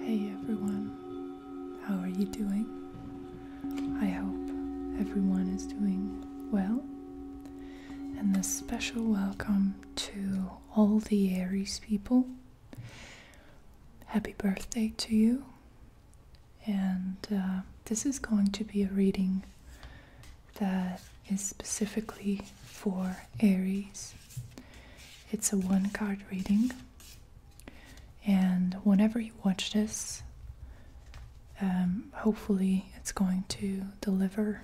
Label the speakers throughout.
Speaker 1: Hey everyone, how are you doing? I hope everyone is doing well. And a special welcome to all the Aries people Happy birthday to you. And uh, this is going to be a reading that is specifically for Aries. It's a one card reading. And whenever you watch this, um, hopefully it's going to deliver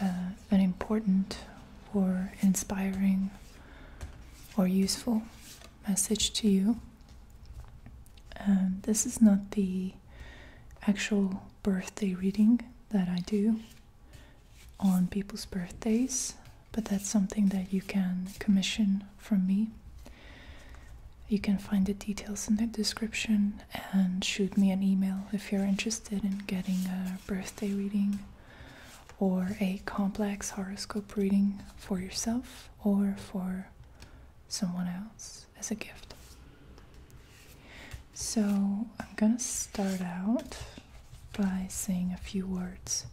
Speaker 1: uh, an important or inspiring or useful message to you. Um, this is not the actual birthday reading that I do on people's birthdays, but that's something that you can commission from me. You can find the details in the description and shoot me an email if you're interested in getting a birthday reading or a complex horoscope reading for yourself or for someone else as a gift. So, I'm going to start out by saying a few words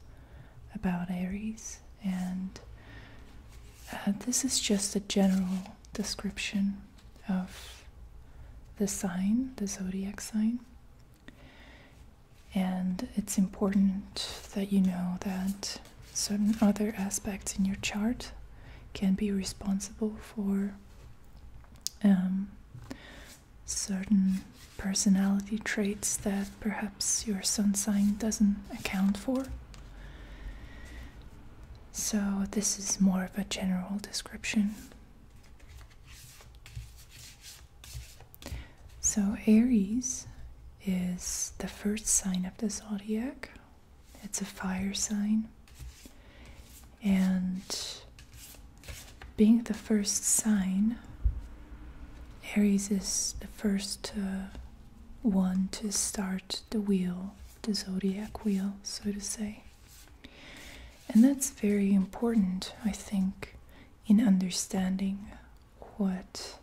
Speaker 1: about Aries, and uh, this is just a general description of the sign, the zodiac sign. And it's important that you know that certain other aspects in your chart can be responsible for um, certain personality traits that perhaps your sun sign doesn't account for. So, this is more of a general description. So, Aries is the first sign of the zodiac, it's a fire sign. And being the first sign, Aries is the first one to start the wheel, the zodiac wheel, so to say. And that's very important, I think, in understanding what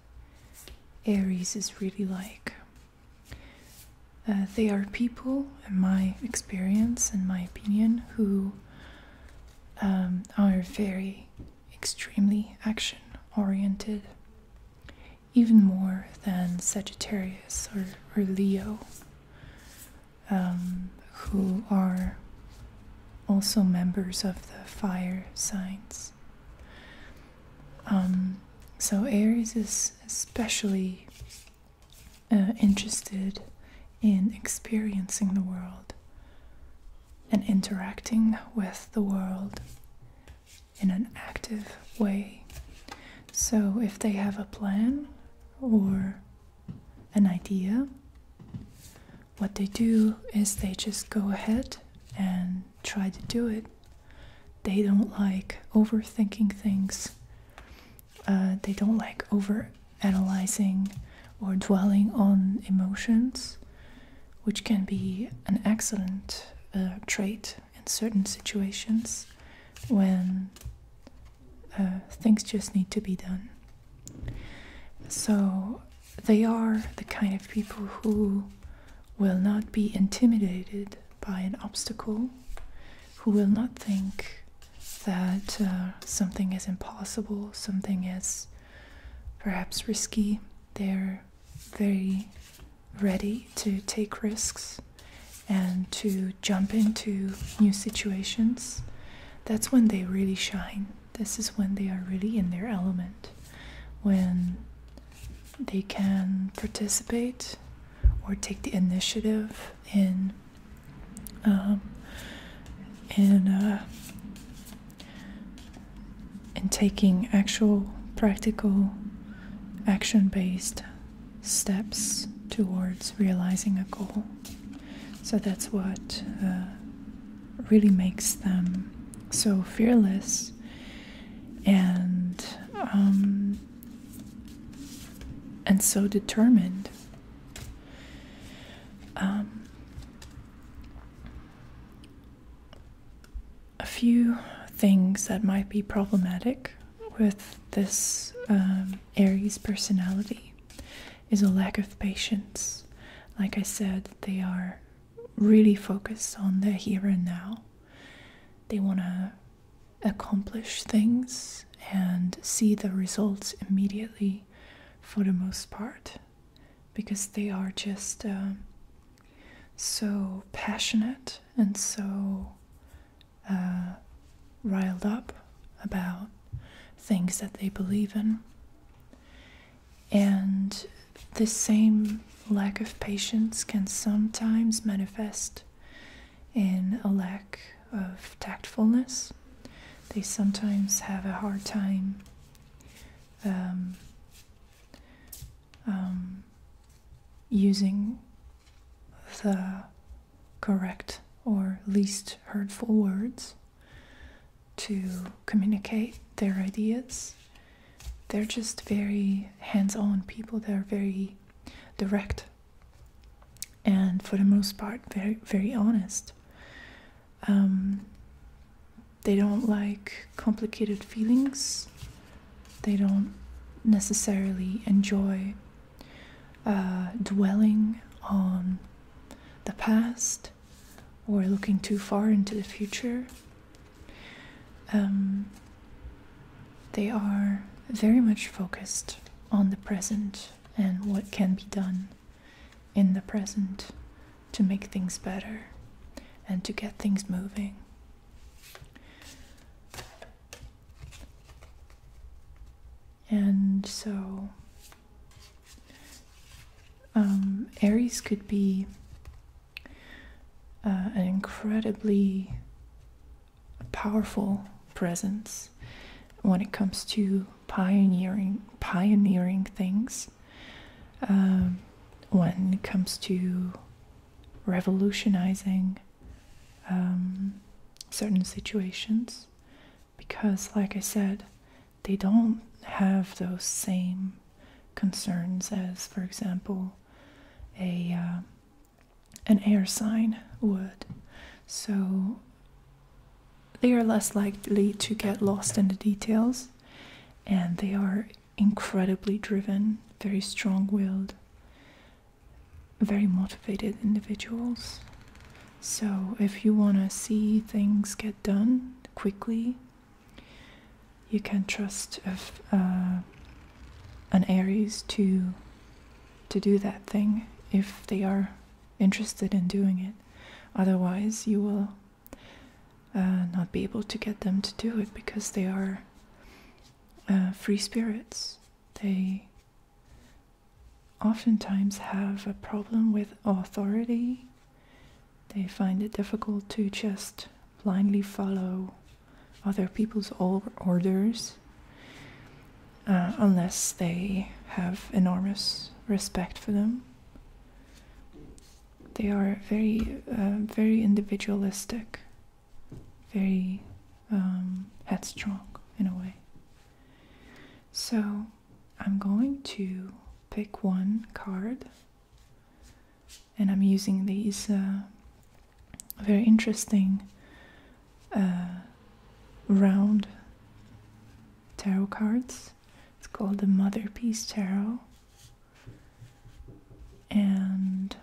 Speaker 1: Aries is really like. Uh, they are people, in my experience and my opinion, who um, are very extremely action oriented, even more than Sagittarius or Leo. Um, who are also members of the fire signs. Um, so Aries is especially uh, interested in experiencing the world and interacting with the world in an active way. So if they have a plan or an idea, what they do is they just go ahead and try to do it. They don't like overthinking things, uh, they don't like over analyzing or dwelling on emotions, which can be an excellent uh, trait in certain situations when uh, things just need to be done. So they are the kind of people who will not be intimidated by an obstacle, who will not think that uh, something is impossible, something is perhaps risky. They're very ready to take risks and to jump into new situations that's when they really shine. This is when they are really in their element, when they can participate or take the initiative in um, in uh, in taking actual practical action based steps towards realizing a goal. So that's what uh, really makes them so fearless and um, and so determined. Um, a few things that might be problematic with this um, Aries personality is a lack of patience. Like I said, they are really focused on the here and now. They want to accomplish things and see the results immediately for the most part because they are just um, so passionate and so uh, riled up about things that they believe in. And the same lack of patience can sometimes manifest in a lack of tactfulness. They sometimes have a hard time um, um, using the correct or least hurtful words to communicate their ideas. They're just very hands on people, they're very direct and for the most part, very, very honest. Um, they don't like complicated feelings, they don't necessarily enjoy uh, dwelling on the past or looking too far into the future. Um, they are very much focused on the present and what can be done in the present to make things better and to get things moving. And so um, Aries could be uh, an incredibly powerful presence when it comes to pioneering pioneering things. Um, when it comes to revolutionizing um, certain situations, because, like I said, they don't have those same concerns as, for example, a uh, an air sign would. So they are less likely to get lost in the details, and they are incredibly driven, very strong-willed, very motivated individuals. So, if you want to see things get done quickly, you can trust uh, an Aries to to do that thing if they are interested in doing it. Otherwise, you will uh, not be able to get them to do it because they are uh, free spirits. They oftentimes have a problem with authority. They find it difficult to just blindly follow other people's orders uh, unless they have enormous respect for them. They are very, uh, very individualistic, very um, headstrong in a way. So, I'm going to pick one card and I'm using these uh, very interesting uh, round tarot cards. It's called the Mother Piece Tarot. And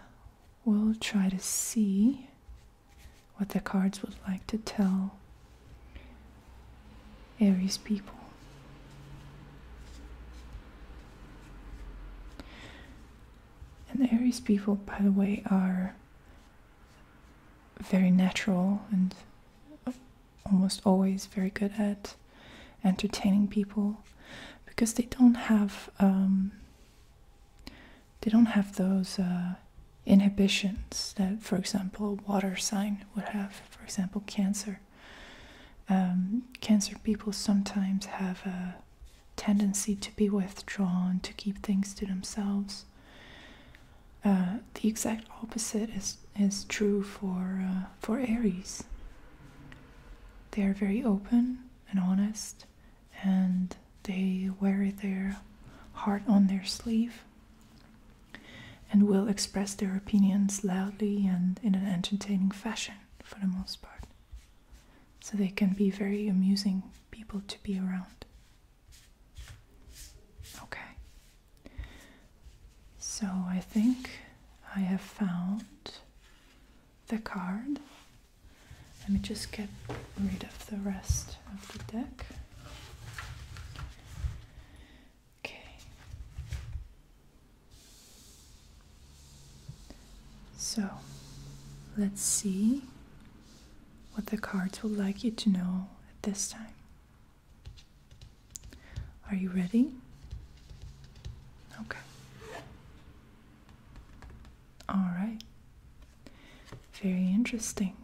Speaker 1: we'll try to see what the cards would like to tell Aries people. And Aries people, by the way, are very natural and almost always very good at entertaining people because they don't have um, they don't have those uh, inhibitions that, for example, a water sign would have, for example, cancer. Um, cancer people sometimes have a tendency to be withdrawn, to keep things to themselves. Uh, the exact opposite is, is true for, uh, for Aries. They are very open and honest, and they wear their heart on their sleeve and will express their opinions loudly and in an entertaining fashion for the most part. So they can be very amusing people to be around. Okay. So I think I have found the card. Let me just get rid of the rest of the deck. Okay. So, let's see what the cards would like you to know at this time. Are you ready? Okay. All right. Very interesting.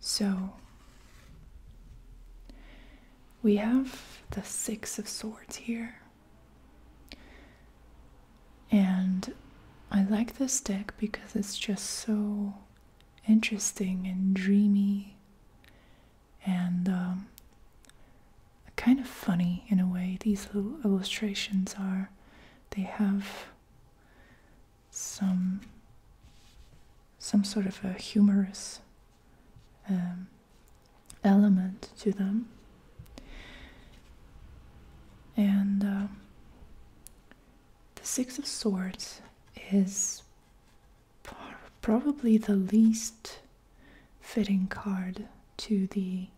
Speaker 1: So we have the Six of Swords here. And I like this deck because it's just so interesting and dreamy and um, kind of funny in a way. These little illustrations are, they have some some sort of a humorous um, element to them. And um, the Six of Swords is probably the least fitting card to the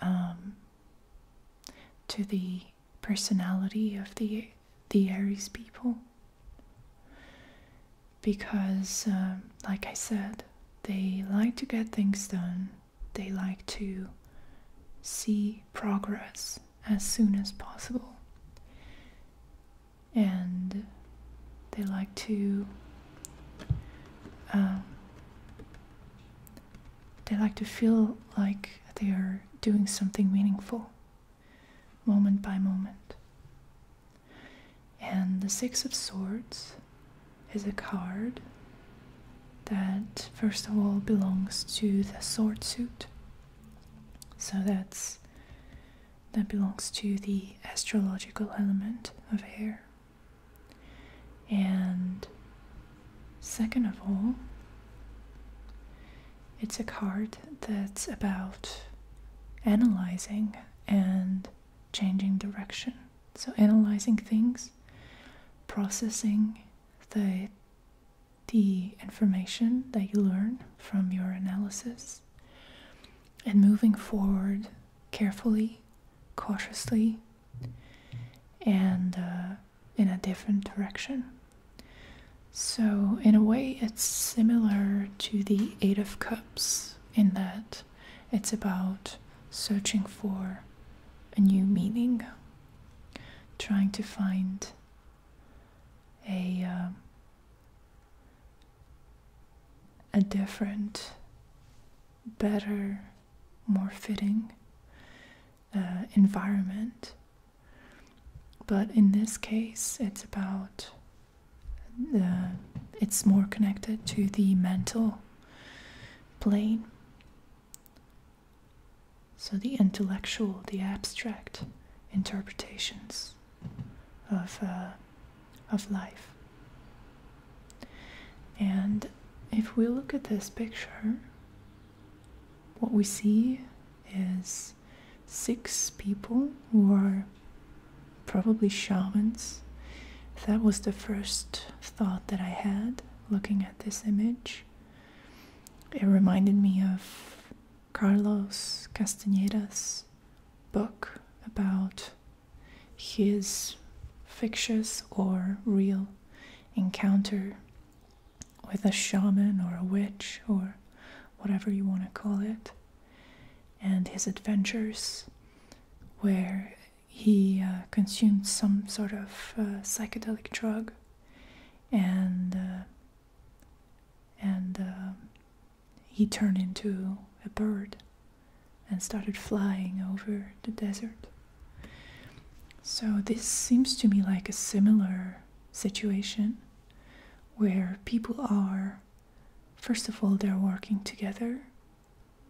Speaker 1: um, to the personality of the the Aries people because um, like I said they like to get things done they like to see progress as soon as possible and they like to um, they like to feel like they are doing something meaningful, moment by moment. And the Six of Swords is a card that, first of all, belongs to the sword suit. So that's that belongs to the astrological element of air. And second of all, it's a card that's about analyzing and changing direction. So, analyzing things, processing the, the information that you learn from your analysis, and moving forward carefully, cautiously, and uh, in a different direction. So, in a way, it's similar to the Eight of Cups in that it's about searching for a new meaning, trying to find a um, a different, better, more fitting uh, environment. But in this case, it's about the, uh, it's more connected to the mental plane. So the intellectual, the abstract interpretations of, uh, of life. And if we look at this picture, what we see is six people who are probably shamans. That was the first thought that I had looking at this image. It reminded me of Carlos Castañeda's book about his fictitious or real encounter with a shaman or a witch or whatever you want to call it, and his adventures, where he uh, consumed some sort of uh, psychedelic drug and uh, and he turned into a bird and started flying over the desert. So, this seems to me like a similar situation where people are, first of all, they're working together,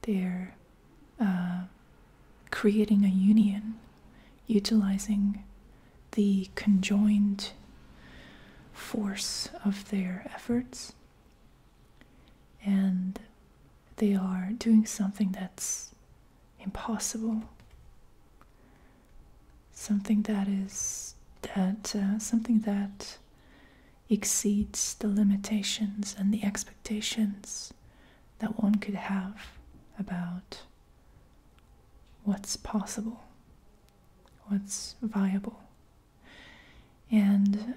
Speaker 1: they're uh, creating a union, utilizing the conjoined force of their efforts. And they are doing something that's impossible, something that is that uh, something that exceeds the limitations and the expectations that one could have about what's possible, what's viable. And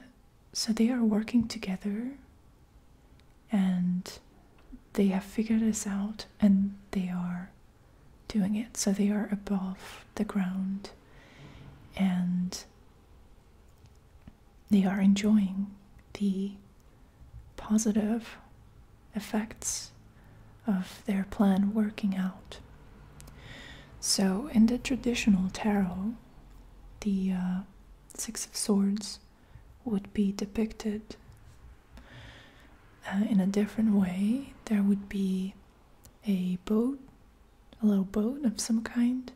Speaker 1: so they are working together and they have figured this out and they are doing it. So they are above the ground and they are enjoying the positive effects of their plan working out. So in the traditional tarot, the uh, Six of Swords would be depicted uh, in a different way. There would be a boat, a little boat of some kind,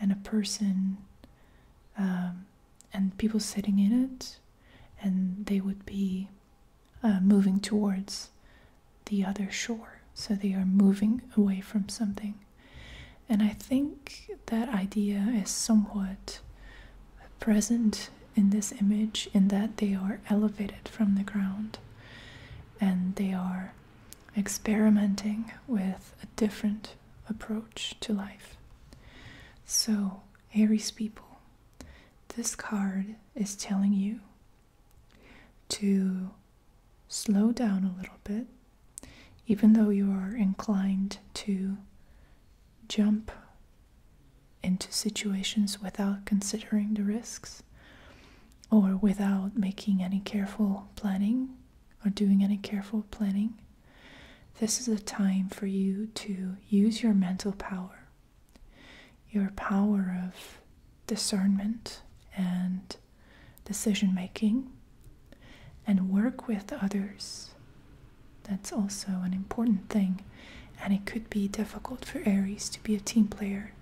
Speaker 1: and a person um, and people sitting in it, and they would be uh, moving towards the other shore. So they are moving away from something. And I think that idea is somewhat present in this image in that they are elevated from the ground and they are experimenting with a different approach to life. So, Aries people, this card is telling you to slow down a little bit even though you are inclined to jump into situations without considering the risks or without making any careful planning or doing any careful planning, this is a time for you to use your mental power, your power of discernment and decision making and work with others. That's also an important thing. And it could be difficult for Aries to be a team player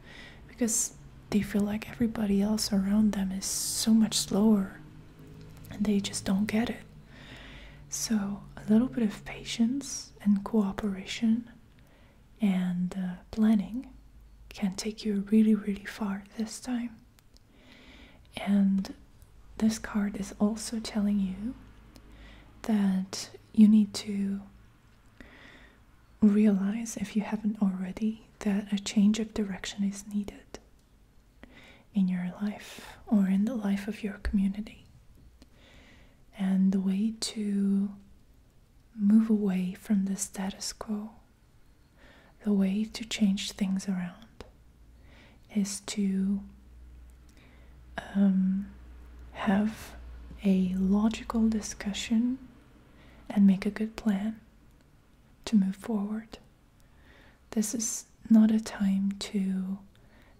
Speaker 1: because they feel like everybody else around them is so much slower and they just don't get it. So, a little bit of patience and cooperation and uh, planning can take you really, really far this time. And this card is also telling you that you need to realize, if you haven't already, that a change of direction is needed in your life or in the life of your community. And the way to move away from the status quo the way to change things around is to um, have a logical discussion and make a good plan to move forward. This is not a time to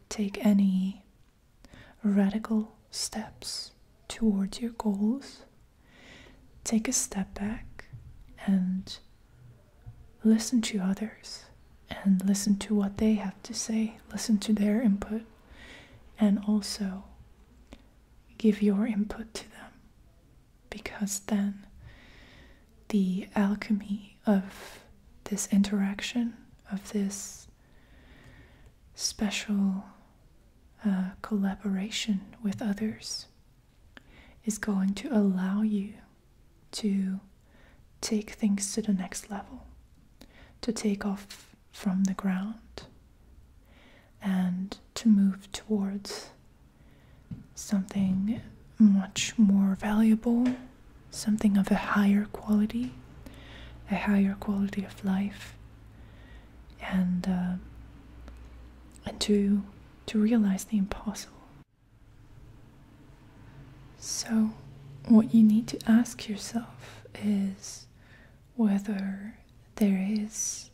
Speaker 1: take any radical steps towards your goals. Take a step back and listen to others and listen to what they have to say, listen to their input, and also give your input to them because then the alchemy of this interaction, of this special uh, collaboration with others, is going to allow you to take things to the next level, to take off from the ground and to move towards something much more valuable, something of a higher quality, a higher quality of life, and uh, and to to realize the impossible, so, what you need to ask yourself is whether there is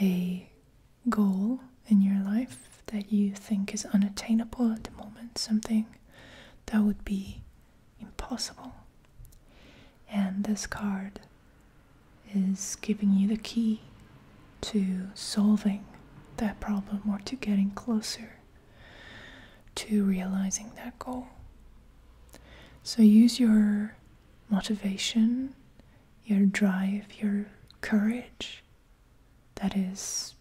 Speaker 1: a goal in your life that you think is unattainable at the moment, something that would be impossible. And this card is giving you the key to solving that problem or to getting closer to realizing that goal. So use your motivation, your drive, your courage that is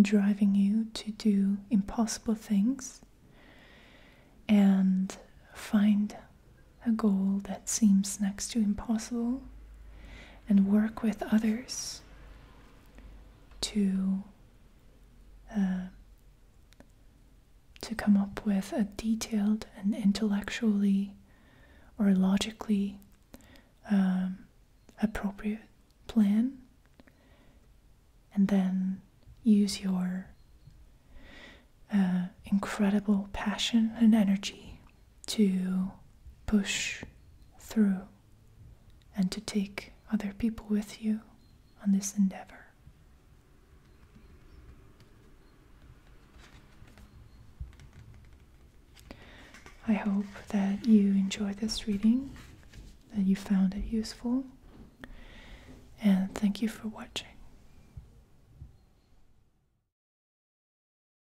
Speaker 1: driving you to do impossible things and find a goal that seems next to impossible and work with others to uh, to come up with a detailed and intellectually or logically um, appropriate plan and then use your uh, incredible passion and energy to push through and to take other people with you on this endeavor. I hope that you enjoyed this reading, that you found it useful, and thank you for watching.